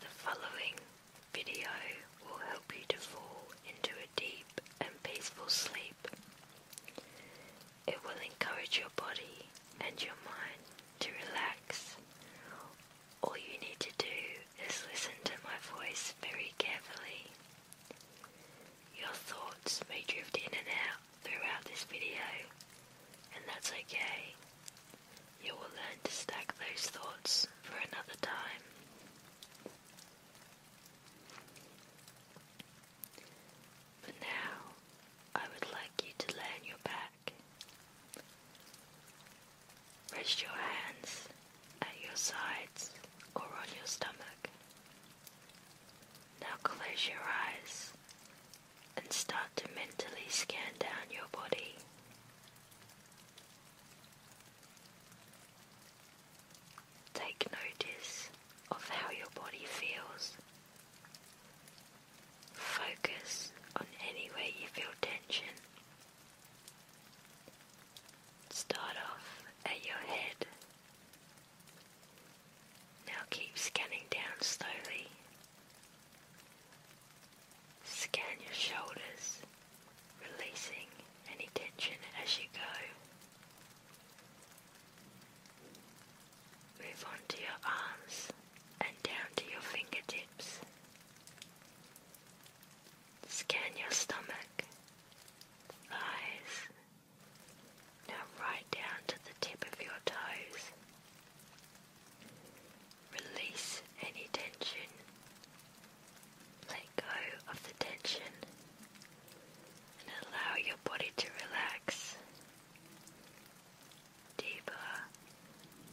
The following video will help you to fall into a deep and peaceful sleep. It will encourage your body and your mind to relax. All you need to do is listen to my voice very carefully. Your thoughts may drift in and out throughout this video, and that's okay. You will learn to stack those thoughts for another time. For now, I would like you to lay on your back. Rest your hands at your sides or on your stomach. Now close your eyes and start to mentally scan down your body. Take notice of how your body feels. Focus on anywhere you feel tension. Start off at your head. Now keep scanning down slowly Scan your shoulders, releasing any tension as you go. Move on to your arms and down to your fingertips. Scan your stomach, thighs, now right down to the tip of your toes. Release any tension. Let go of the tension and allow your body to relax deeper,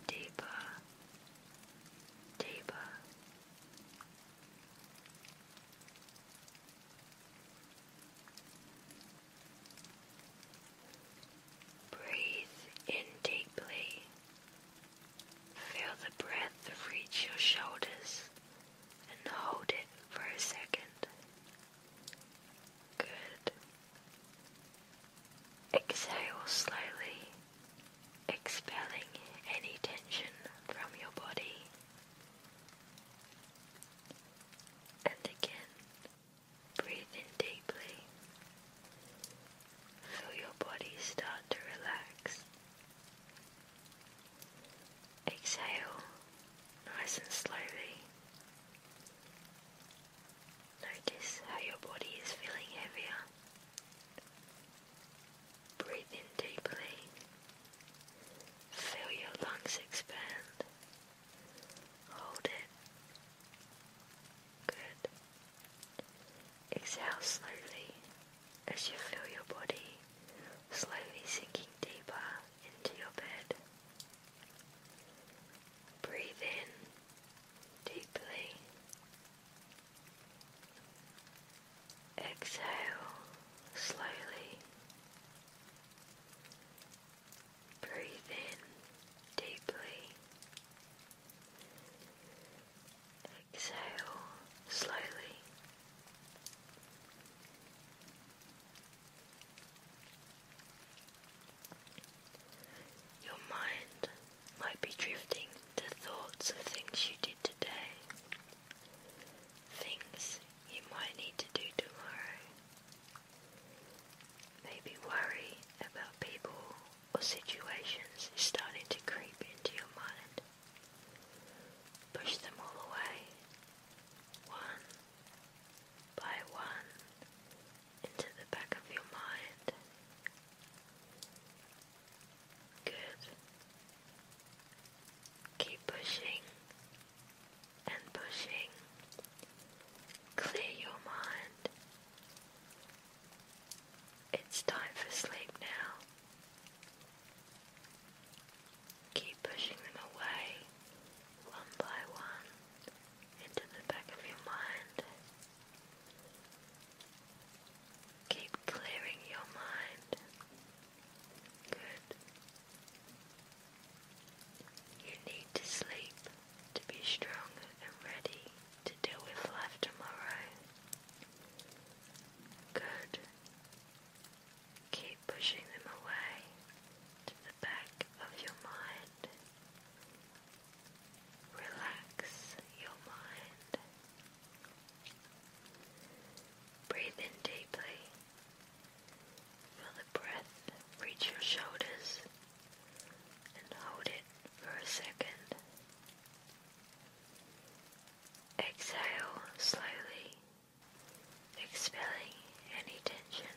deeper, deeper. Breathe in deeply. Feel the breath reach your shoulders and hold it for a second. Good. Exhale slowly, expelling any tension from your body. And again, Breathe in deeply. Feel your body start to relax. Exhale nice and slowly. Notice how your body is feeling heavier. Breathe in deeply. Feel your lungs expand. Hold it. Good. Exhale slowly as you feel your body slowly sinking deeper into your bed. Breathe in deeply. Exhale slowly. Breathe in deeply. Exhale slowly. Your mind might be drifting to thoughts of things you did today, things you might need to do tomorrow. Maybe worry about people or situations is starting to creep into your mind. Push them all away, one by one, into the back of your mind. Good. Keep pushing and pushing. Clear your mind. It's time for sleep now. Keep pushing them away, one by one, into the back of your mind. Keep clearing your mind. Good. You need to sleep to be strong and ready to deal with life tomorrow. Good. Keep pushing them away to the back of your mind. Relax your mind. Breathe in deeply. Feel the breath reach your shoulders and hold it for a second. Exhale slowly, expelling any tension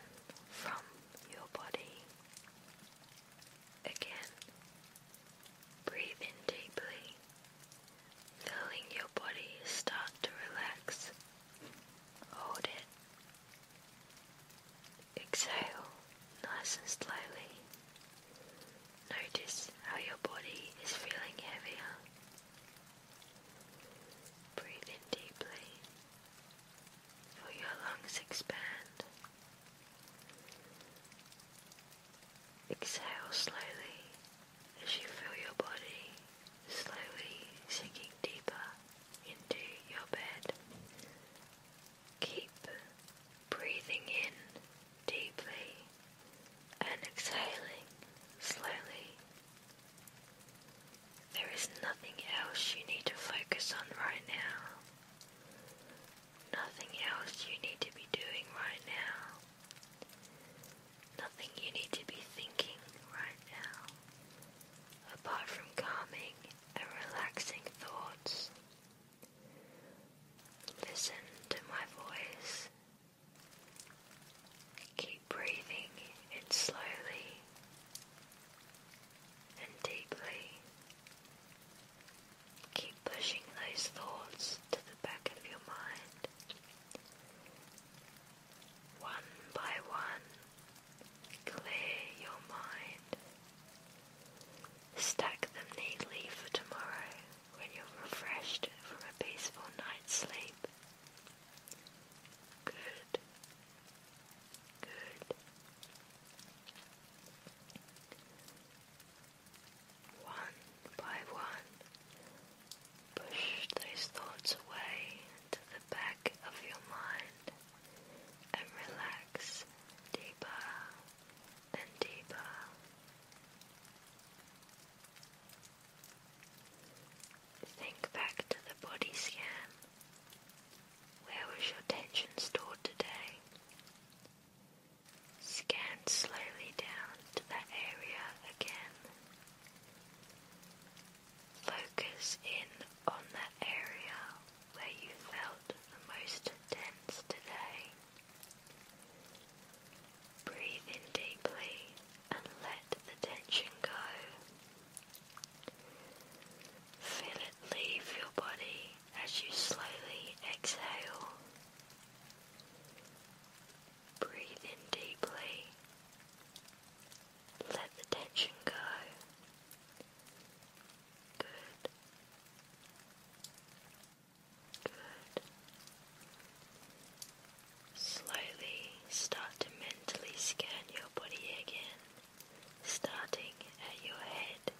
from your body. Again, breathe in deeply, feeling your body start to relax. Hold it. Exhale nice and slowly. Notice how your body is feeling heavier. Breathe in deeply. Feel your lungs expand. Exhale slowly as you feel your body slowly sinking deeper into your bed. Keep breathing in deeply and exhaling slowly. There is nothing else you need to focus on right now. Nothing else you need to be doing right now. Nothing you need to be thinking right now, apart from calming and relaxing thoughts. Listen to my voice. Keep breathing it slowly and deeply. Keep pushing those thoughts to the back of your mind. One by one, clear your mind Stack them neatly for tomorrow when you're refreshed from a peaceful night's sleep. Good. Good. One by one, push those thoughts away to the back of your mind and relax deeper and deeper. Think back to the body scan. Where was your tension stored today? Scan slowly down to that area again. Focus in on that area where you felt the most tense today. Breathe in deeply and let the tension go. Feel it leave your body as you slowly exhale. Breathe in deeply. Let the tension go. Good. Good. Slowly start to mentally scan your body again, starting at your head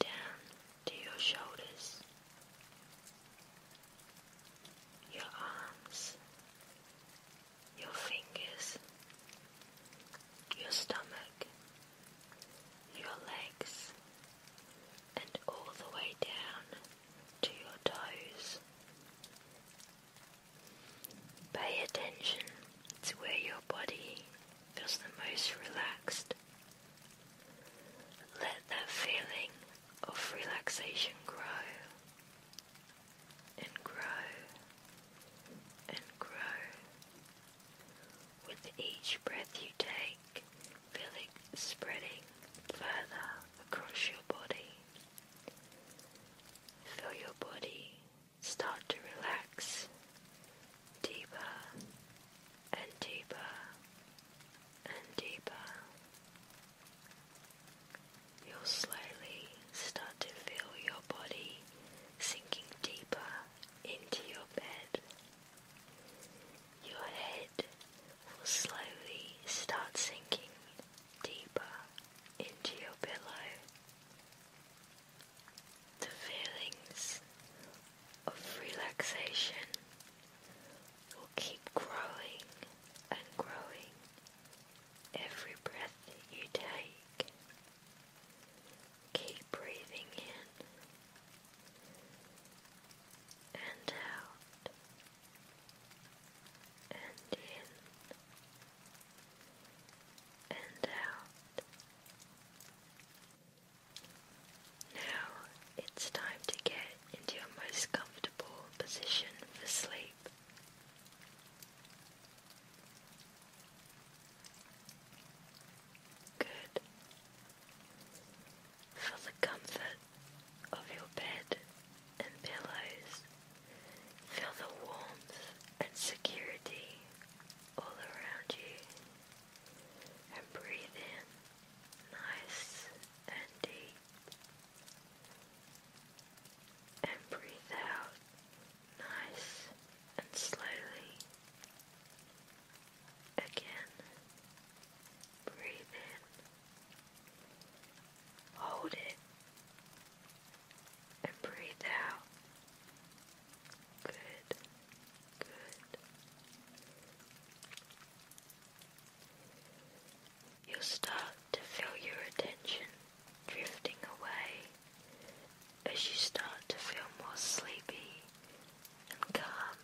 down to your shoulders, your arms, your fingers, your stomach, your legs, and all the way down to your toes. Pay attention to where your body feels the most relaxed. Let that feeling of relaxation grow and grow and grow with each breath you take, feel it spreading further across your body. Feel your body start to relax deeper and deeper and deeper. You'll slowly start to feel your body sinking deeper into your bed. Your head will slowly start sinking deeper into your pillow. The feelings of relaxation will keep growing and growing every breath that you take. Keep breathing in and out and in and out. Now it's time to get into your most comfortable position for sleep. Good. For the comfort of your bed and pillows, feel the warmth and security all around you, and breathe in nice and deep, and breathe out nice and slowly. Again, breathe in, hold it, and breathe out. Good, good. You'll start to feel your attention drifting away as you start to feel more sleepy and calm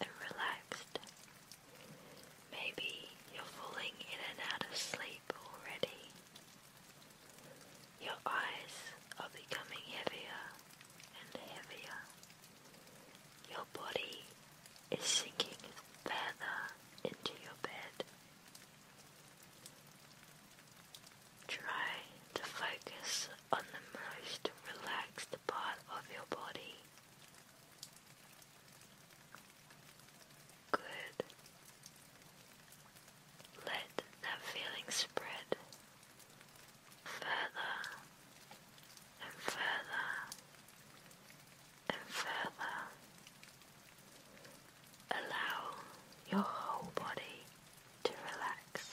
and relaxed. Maybe you're falling in and out of sleep already. Your eyes are becoming heavier and heavier. Your body is sinking further into your bed. Try to focus on the most relaxed part of your body. Good. Let that feeling spread further and further and further. Allow your whole body to relax.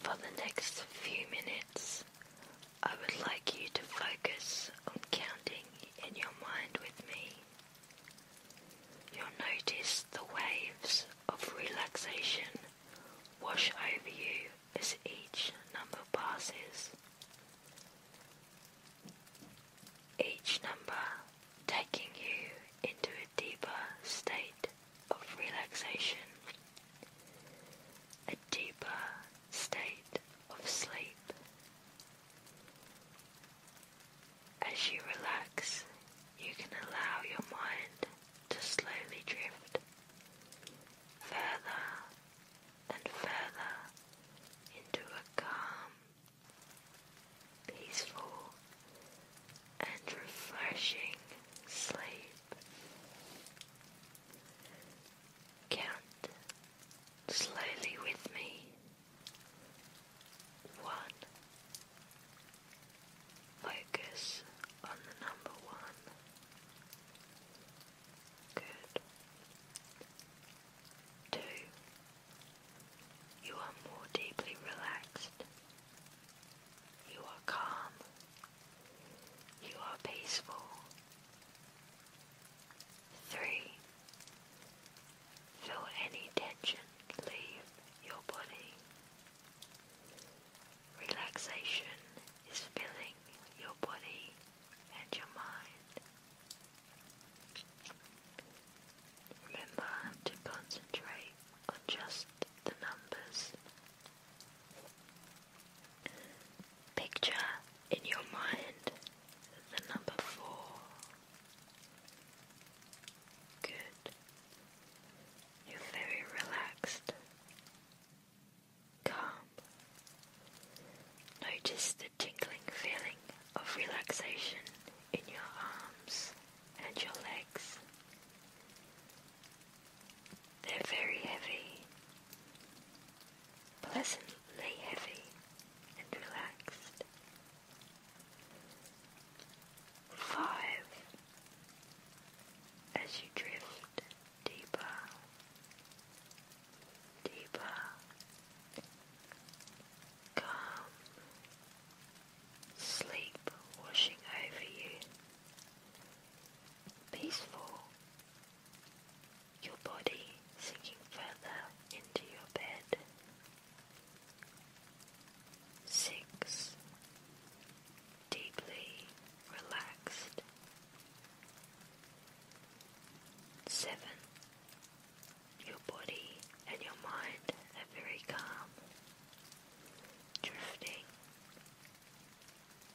For the next few minutes, I would like you to focus on counting in your mind with me. You'll notice the waves of relaxation wash over you as each number passes. Each number taking you into a deeper state of relaxation, a deeper state of sleep. As you relax, you can allow your mind to slowly drift further and further into a calm, peaceful, and refreshing sleep. Count slowly with me. One. Focus on the number one. Good. Two. You are more deeply relaxed. You are calm. You are peaceful. Three. Feel any tension leave your body. Relaxation is filling your body and your mind. Remember to concentrate on just the numbers. Picture in your mind the number four. Good. You're very relaxed. Calm. Notice the tingling feeling of relaxation in your arms and your legs. They're very heavy, pleasantly heavy and relaxed. Five, as you drift deeper, deeper, calm sleep washing over you, peaceful, your body sinking further into your bed. Six, deeply relaxed. Seven, your body and your mind are very calm drifting,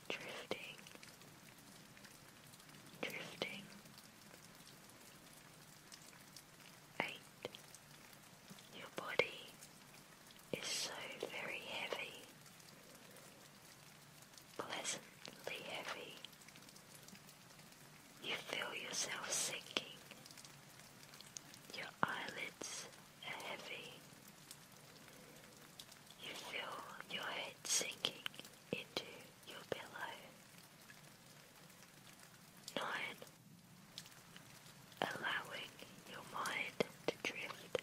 drifting, drifting. Eight. Your body is so very heavy, pleasantly heavy. You feel yourself sinking. Your eyelids are heavy. You feel your head sinking into your pillow. Nine. Allowing your mind to drift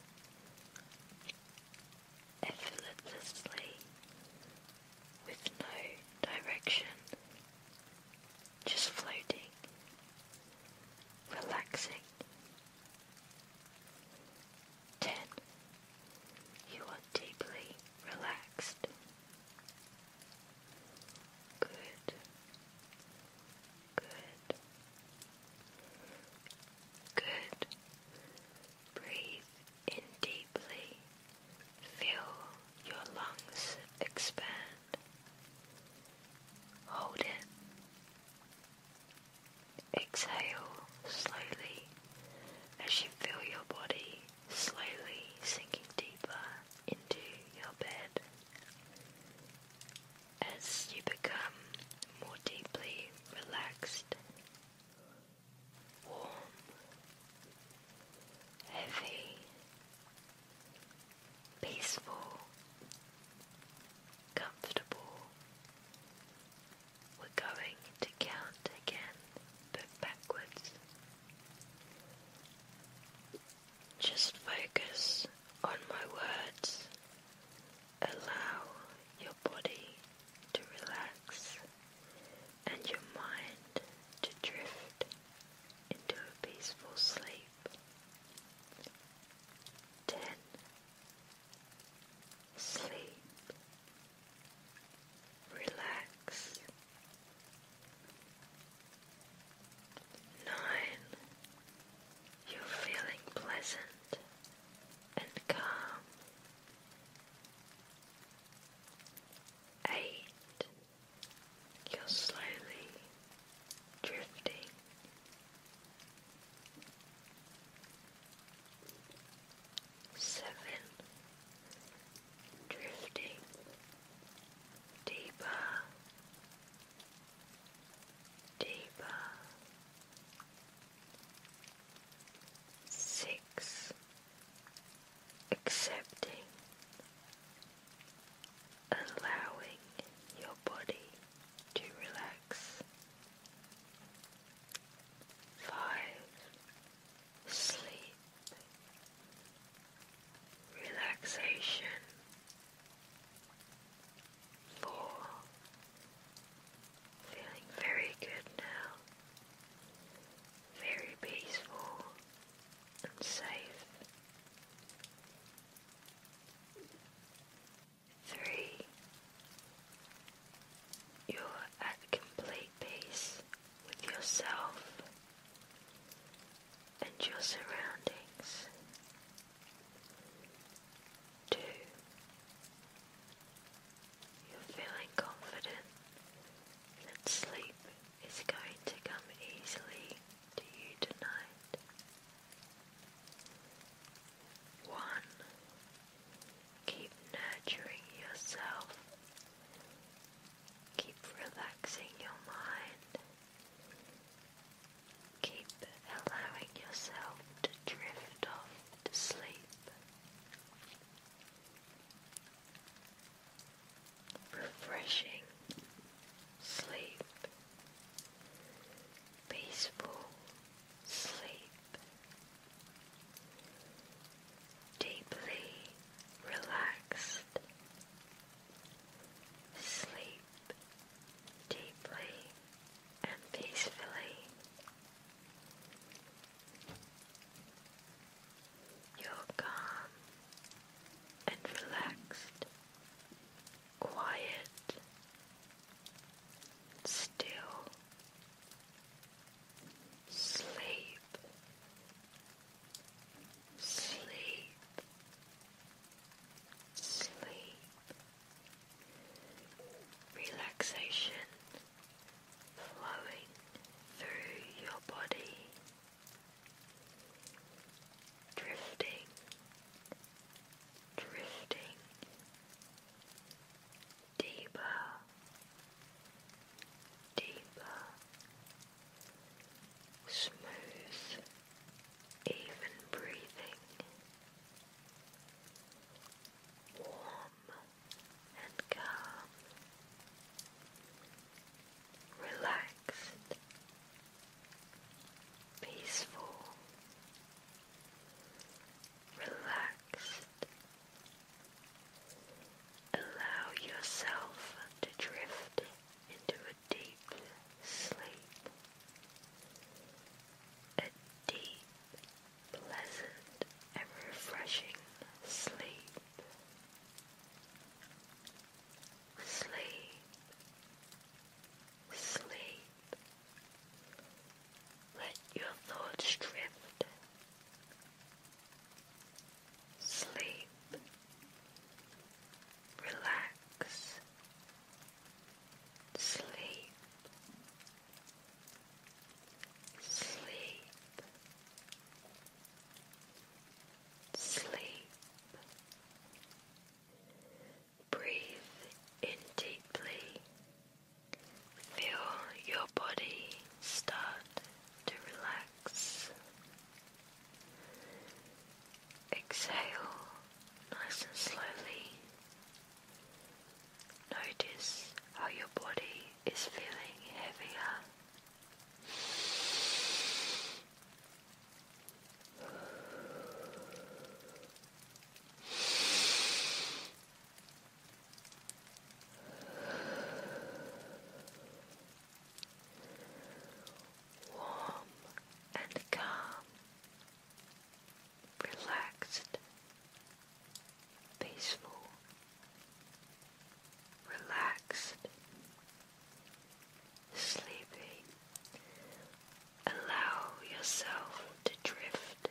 effortlessly with no direction, just floating relaxing. 10. You are deeply relaxed. Good. Good. Good. Breathe in deeply. Feel your lungs expand. Hold it. Exhale slowly as you feel your body slowly sinking deeper into your bed. As you become more deeply relaxed, warm, heavy, peaceful, comfortable. We're going to count again, but backwards. Just focus on my words. Allow your body to relax and your mind to drift into a peaceful sleep ten, sleep, relax, nine, you're feeling pleasant and calm. Eight, you're slowly drifting. Seven drifting deeper, deeper. Six accepting, allowing your body to relax. Five, sleep, relaxation. Four, feeling very good now, very peaceful and safe. Three, you're at complete peace with yourself and your surroundings. Two, you're feeling confident that sleep is going to come easily to you tonight. 1. Keep nurturing yourself. Keep relaxing your mind. Keep allowing yourself to drift off to sleep. Refreshing sleep peaceful sleep, deeply relaxed sleep deeply and peacefully. You're calm and relaxed quiet, still, sleep, sleep, sleep, relaxation flowing through your body. Drifting drifting deeper, deeper, smooth, even breathing, warm and calm, relaxed peaceful, relaxed. Allow yourself to drift into a deep sleep, a deep, pleasant, and refreshing sleep. Sleep Sleep. Let your thoughts drift. Sleep. Relax. Sleep. Sleep. Sleep. Breathe in deeply. Feel your body start to relax. Exhale nice and slowly. Notice how your body is feeling heavier. Warm and calm, relaxed, peaceful, relaxed, sleepy, Allow yourself to drift,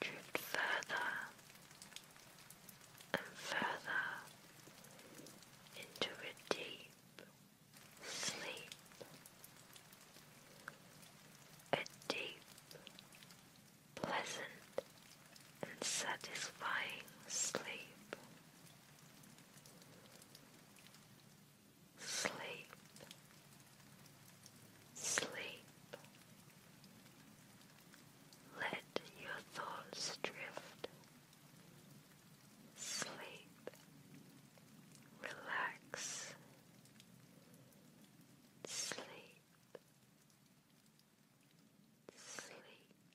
drift further and further into a deep sleep, a deep, pleasant, and satisfying sleep sleep, sleep. Let your thoughts drift. Sleep, relax, sleep, sleep, sleep.